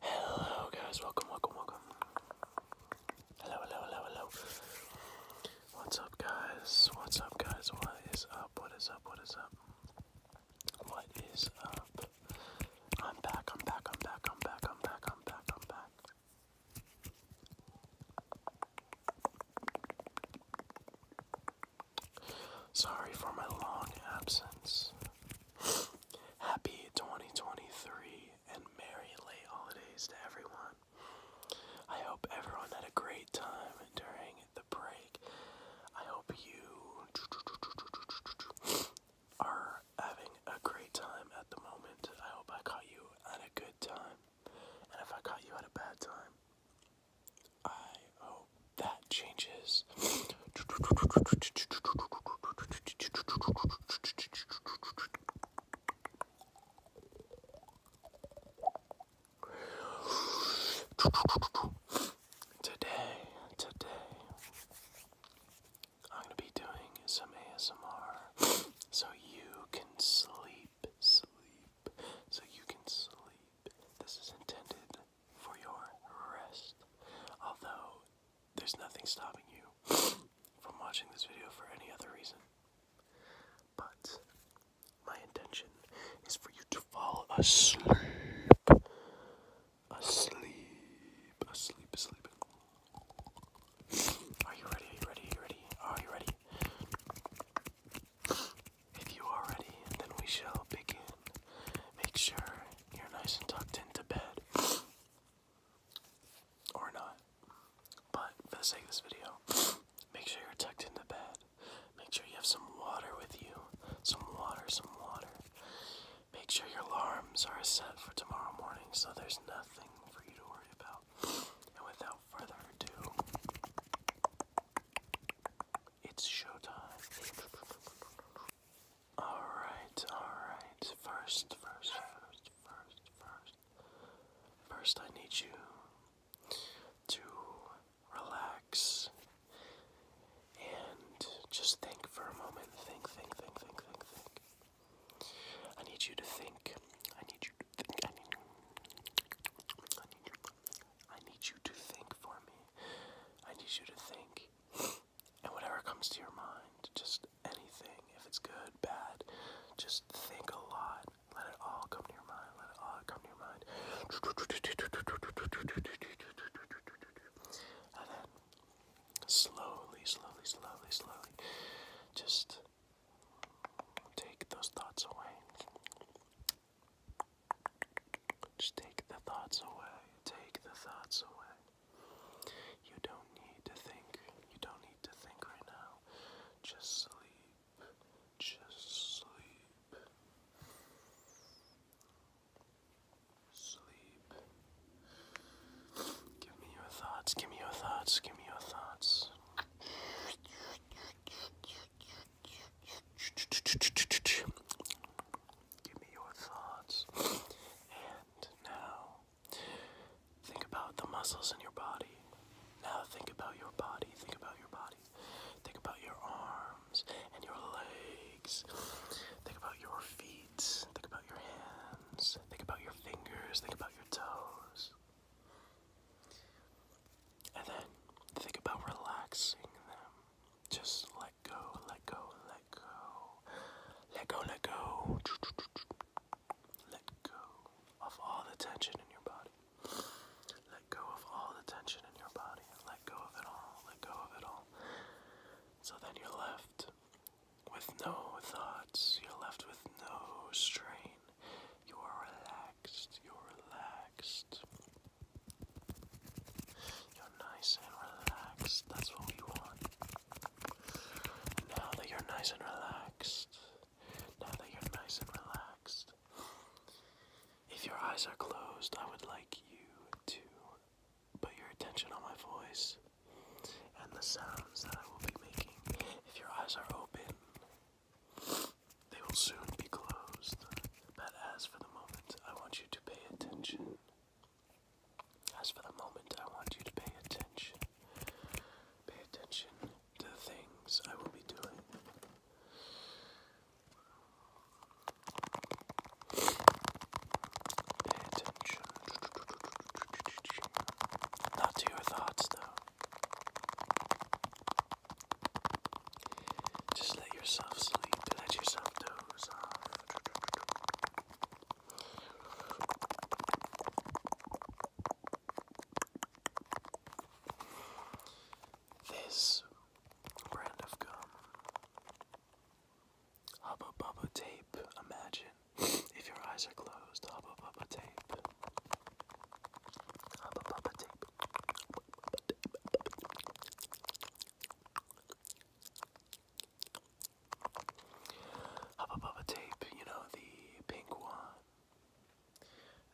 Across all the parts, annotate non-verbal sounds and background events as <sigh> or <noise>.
Hello guys, welcome, welcome, welcome. Hello, hello, hello, hello. What's up guys? What's up guys? What is up? What is up? What is up? What is up? I'm back, I'm back, I'm back, I'm back, I'm back, I'm back, I'm back. Sorry for my long absence. Happy 2023 and merry late holidays to everyone. I hope everyone had a great time during the break. I hope you are having a great time at the moment. I hope I caught you at a good time. And if I caught you at a bad time, I hope that changes. Today, today, I'm going to be doing some ASMR so you can sleep, sleep, so you can sleep. This is intended for your rest. Although, there's nothing stopping you <sniffs> from watching this video for any other reason. But, my intention is for you to fall asleep. Asleep, asleep, asleep. <sniffs> Are you ready? Are you ready? Are you ready? Are you ready? If you are ready, then we shall begin. Make sure you're nice and tucked into bed. or not. But for the sake of this video, make sure you're tucked into bed. Make sure you have some water with you. Some water, some water. Make sure your alarms are set for tomorrow morning so there's nothing for you to worry about. And without further ado, it's showtime. Alright, alright. First, first, first, first, first. First, I need you to relax and just think for a moment. Think, think, think, think, think, think. I need you to think. I need you to think. I need, you. I need you to think for me. I need you to think. And whatever comes to your mind, just anything, if it's good, bad, just think a lot. Let it all come to your mind. Let it all come to your mind. And then slowly, slowly, slowly, slowly, just take those thoughts away. Just take the thoughts away. Take the thoughts away. You don't need to think. You don't need to think right now. Just sleep. Just sleep. Sleep. Give me your thoughts. Give me your thoughts. Give me your thoughts. Give me your thoughts. And now, think about the muscles in your body. Now, think about your body. Think about your body. Think about your arms and your legs. Think about your feet. Think about your hands. Think about your fingers. Think about your toes. And then think about relaxing them. Just let go, let go, let go. Let go, let go. Let go of all the tension in your body. Let go of all the tension in your body. Let go of it all. Let go of it all. So then you're left with no thoughts. You're left with no strain. You are relaxed. You're relaxed. You're nice and relaxed. That's what we want. now that you're nice and relaxed, now that you're nice and relaxed, if your eyes are closed, I would like you to put your attention on my voice and the sounds that I will be making. If your eyes are open, they will soon be closed. But as for the moment, I want you to pay attention as for the moment, I want you to pay attention. Pay attention to the things I will be doing. Pay attention. Not to your thoughts, though. Just let let yourself sleep, to let yourself doze off. This brand of gum, Hubba Bubba Tape, imagine if your eyes are closed, Hubba Bubba Tape. Hubba, bubba, tape. Hubba Bubba tape, you know, the pink one.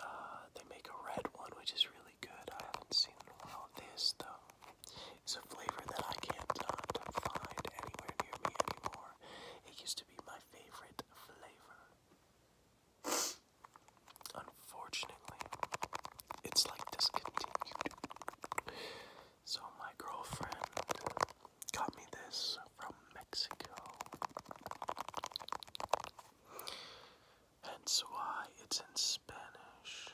Uh, they make a red one, which is really good. I haven't seen This, though, is a flavor that I can't find anywhere near me anymore. It used to be my favorite flavor. Unfortunately, it's like discontinued. So my girlfriend got me this from Mexico. Hence why it's in Spanish.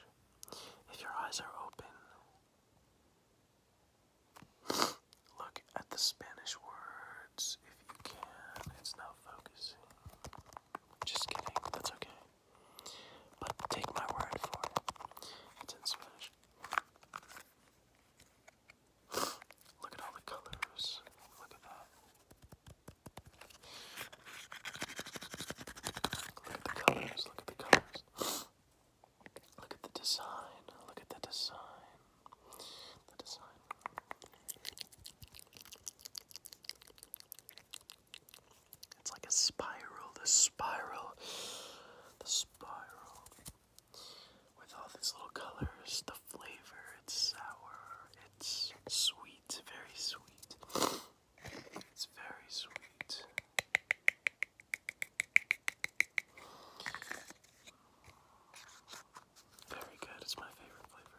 If your eyes are open, look at the Spanish words if you can. It's not focusing. Just kidding, that's okay. But take my word for it. It's in Spanish. <sighs> Look at all the colors. Look at that. Look at the colors. Look at the colors. Look at the design. Look at the design. The design. It's like a spiral, the spiral, the spiral. With all these little colors, the flavor, it's sour, it's sweet, very sweet. It's very sweet. Very good, it's my favorite flavor.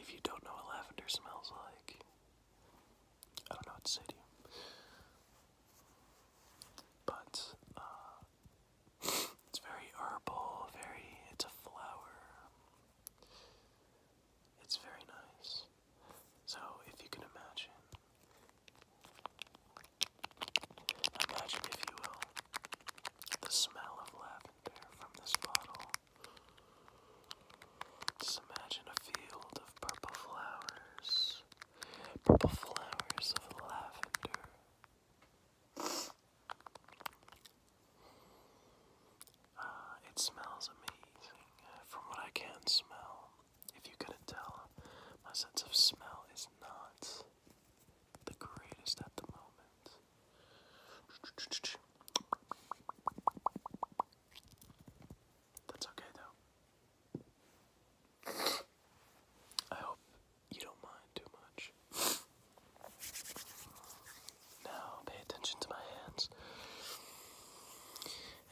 If you don't know what lavender smells like, I don't know what to But, uh, <laughs> it's very herbal, very, it's a flower. It's very nice. So, if you can imagine Imagine, if you will, the smell of lavender from this bottle. imagine a field of purple flowers. Purple flowers of lavender. Ah, it smells amazing from what I can smell. If you could tell, my sense of smell is not the greatest at the moment. That's okay though. I hope you don't mind too much. Now pay attention to my hands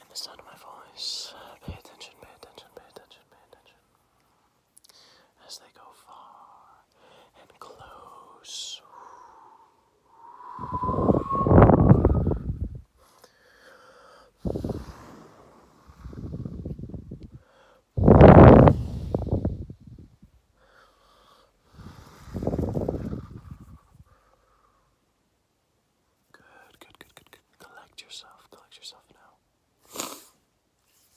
and the sound of my voice. Pay attention, pay attention, pay attention, pay attention as they go far and close. Good, good, good, good, good. Collect yourself, collect yourself now.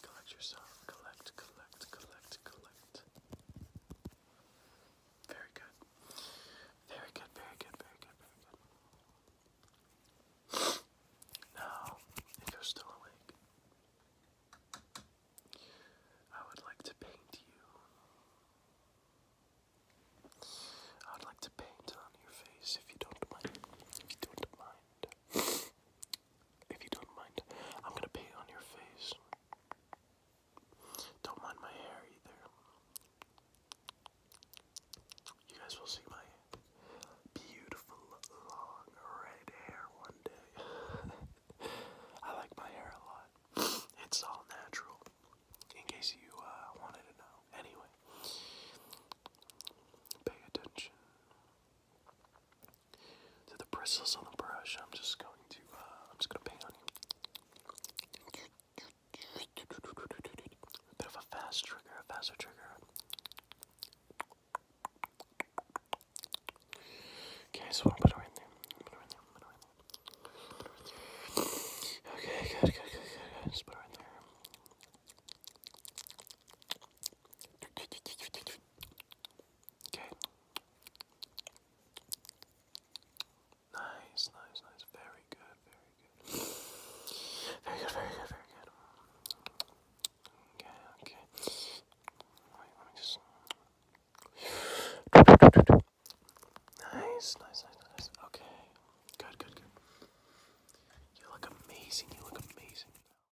Collect yourself. Collect, collect, collect, collect. Very good. Very good, very good, very good, very good. Now, if you're still awake, I would like to paint you. I would like to paint on your face if you don't mind. If you don't mind. If you don't mind, I'm gonna paint on your face. Don't mind my hair either. You guys will see my beautiful long red hair one day. <laughs> I like my hair a lot. It's all natural. In case you uh, wanted to know. Anyway, pay attention to the bristles on the brush. I'm just going to, uh, I'm just going to paint on you. A bit of a fast trigger, a faster trigger. Okay, so I'm gonna put it right there. I'm gonna right there. I'm gonna right there. Okay, good, good, good, good, good. Just put it right there. Okay. Nice, nice, nice. Very good, very good. Very good, very good, very good. Okay, okay. Wait, let me just. Nice, nice, nice, nice. Okay. Good, good, good. You look amazing. You look amazing.